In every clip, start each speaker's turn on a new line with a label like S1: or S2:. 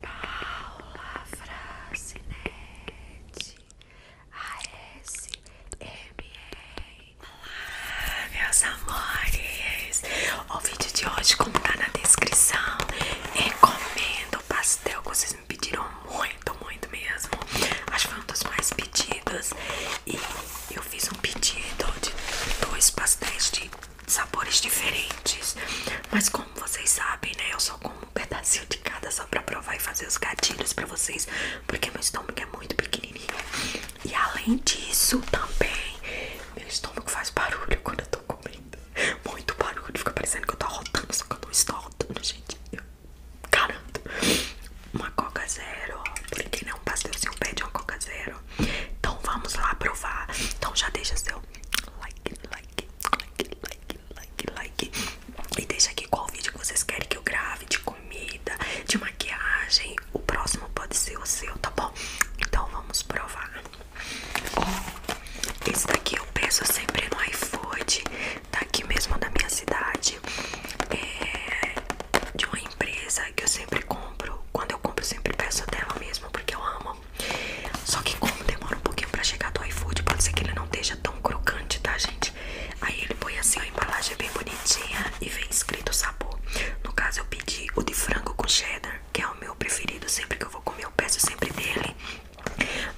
S1: Paula Francinete ASMR Olá, meus amores! O vídeo de hoje, como tá na descrição, recomendo pastel que vocês me pediram muito, muito mesmo. Acho que foi um dos mais pedidos. E eu fiz um pedido de dois pastéis de sabores diferentes. Mas como vocês sabem, né? Eu só como um pedacinho de cada só pra provar e fazer os gatilhos pra vocês. Porque meu estômago é muito pequenininho. E além disso, também, meu estômago faz barulho quando eu tô comendo. Muito barulho. Fica parecendo que eu tô rotando, só que eu não estou rotando, gente. Eu garanto. Uma coca zero. Por que não? Um pastelzinho pede uma coca zero. Então vamos lá provar. Então já deixa seu like, like, like, like, like, like. E deixa aqui qual vídeo vocês querem que eu grave, de comida, de maquiagem. O próximo pode ser o seu, tá bom? Então vamos provar. esse daqui eu peço sempre no iFood, daqui tá mesmo da minha cidade. É de uma empresa que eu sempre compro quando eu compro, eu sempre peço dela mesmo, porque eu amo. Só que como demora um pouquinho pra chegar do iFood, pode ser que ele não esteja tão crocante, tá, gente? Aí ele põe assim, a embalagem é bem bonitinha e vem escrito o sabor. No caso, eu pedi o de frango com cheddar, que é o meu preferido. Sempre que eu vou comer, eu peço sempre dele.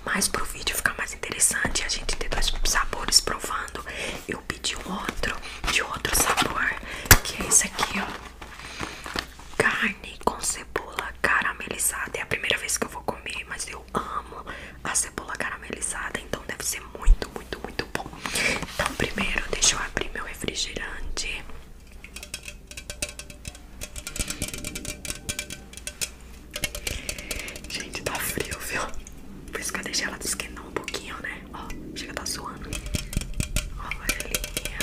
S1: Mas pro vídeo ficar mais interessante, e a gente ter dois sabores provando, eu pedi um outro de outro sabor, que é esse aqui, ó. Carne com cebola caramelizada. É a primeira vez que eu vou comer, mas eu amo a cebola caramelizada, então deve ser muito, muito, muito bom. Então, primeiro, deixa eu abrir meu refrigerante. Gente, tá frio, viu? Por isso que eu deixei ela desquentar um pouquinho, né? Ó, chega tá suando. Ó, varelinha.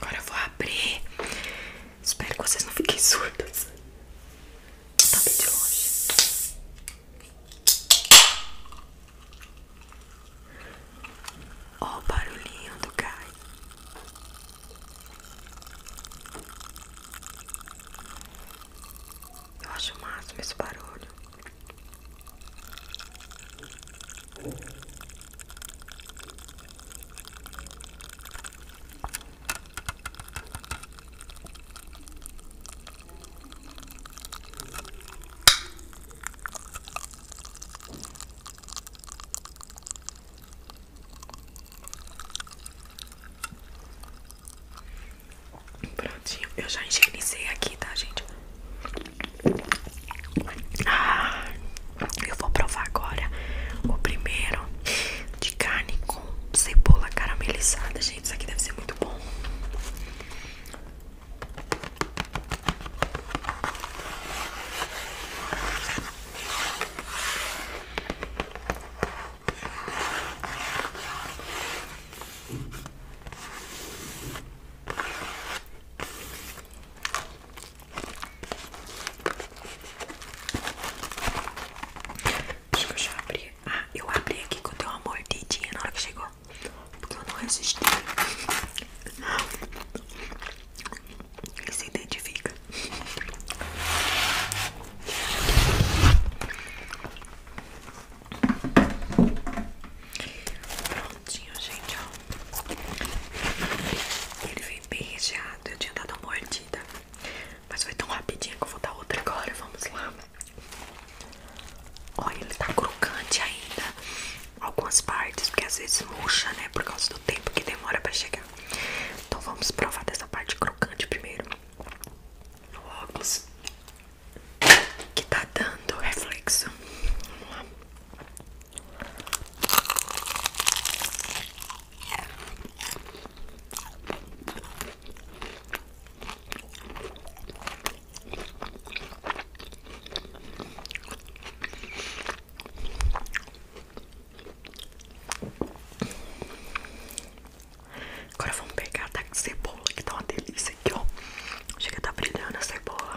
S1: Agora vou abrir Espero que vocês não fiquem surdos. Tá bem de longe. Ó, o barulhinho do Kai. Eu acho o máximo esse barulho. Prontinho, eu já higienizei aqui, tá, gente? Ah, eu vou provar agora o primeiro de carne com cebola caramelizada. Gente, isso aqui deve ser muito bom deixa eu abrir Ah, eu abri aqui quando deu uma mordidinha na hora que chegou. Porque eu não resisti. Quem se identifica? Pronto bonitinho, gente, ó. Ele vem bem recheado, eu tinha dado uma mordida. Mas foi tão rapidinho que eu vou dar outra agora, vamos lá. Olha, ele tá crocante ainda. Algumas partes, porque às vezes murcha, né? Por causa do tempo que demora pra chegar. Então vamos provar dessa parte crocante primeiro. O óculos que tá dando reflexo. Vamos lá. Agora vamos pegar a cebola que tá uma delícia aqui, ó. Chega tá brilhando a cebola.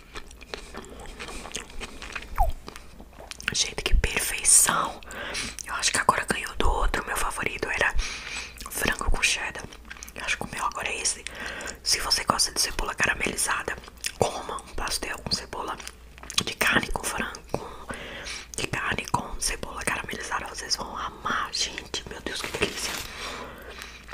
S1: Gente, que perfeição. Eu acho que agora ganhou do outro. Meu favorito era frango com cheddar. acho que o meu agora é esse. Se você gosta de cebola caramelizada, coma um pastel com cebola de carne com frango. de carne com cebola caramelizada. Vocês vão amar, gente. Meu Deus, que delícia.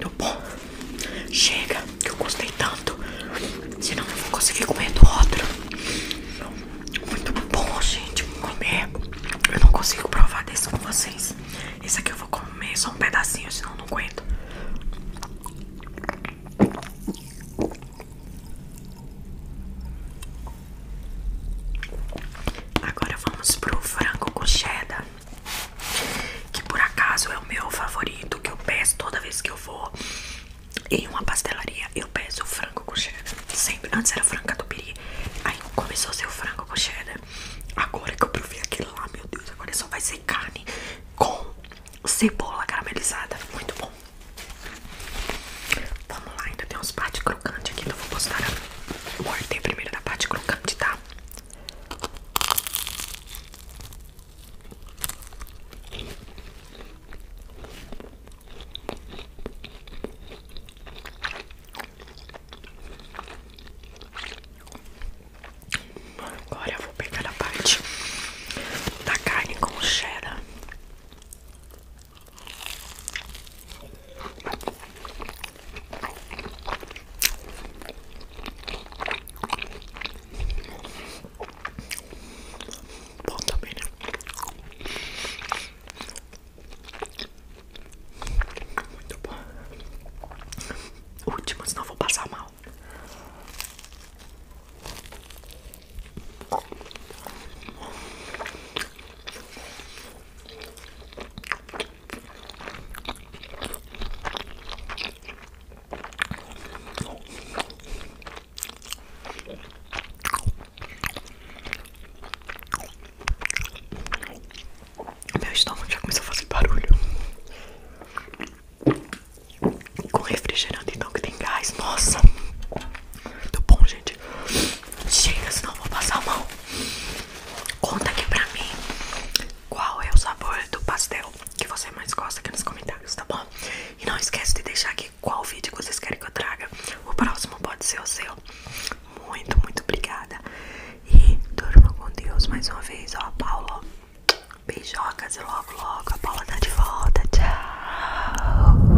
S1: Tô bom. Chega, que eu gostei tanto. Senão eu vou conseguir comer do outro. Muito bom, gente. Comer. É, eu não consigo provar desse com vocês. Esse aqui eu vou comer só um pedacinho, senão eu não aguento. Agora vamos pro frango com cheddar. Que por acaso é o meu favorito, que eu peço toda vez que eu vou em uma pastelaria. Eu peço frango com cheddar. Sempre. Antes era frango catupiry. Aí começou a ser o frango com cheddar. Agora que eu provei aquilo lá, meu Deus, agora só vai ser carne com cebola caramelizada. Muito bom. Vamos lá, ainda tem uns pate crocante aqui, então vou postar a morder primeiro da parte crocante, tá? Agora eu vou pegar a parte da carne com cheddar. Bom também, né? Muito bom. Último, senão vou passar mal. Meu estômago já começou a fazer barulho. Com refrigerante, então, que tem gás. Nossa, muito bom, gente. Gina, senão vou passar a mão. Conta aqui pra mim qual é o sabor do pastel que você mais gosta aqui nos comentários, tá bom? E não esquece de deixar aqui qual vídeo vocês querem que eu traga. O próximo pode ser o seu. Muito, muito obrigada. E durma com Deus mais uma vez, ó, Paulo. Beijocas e logo, logo a Paula tá de volta. Tchau.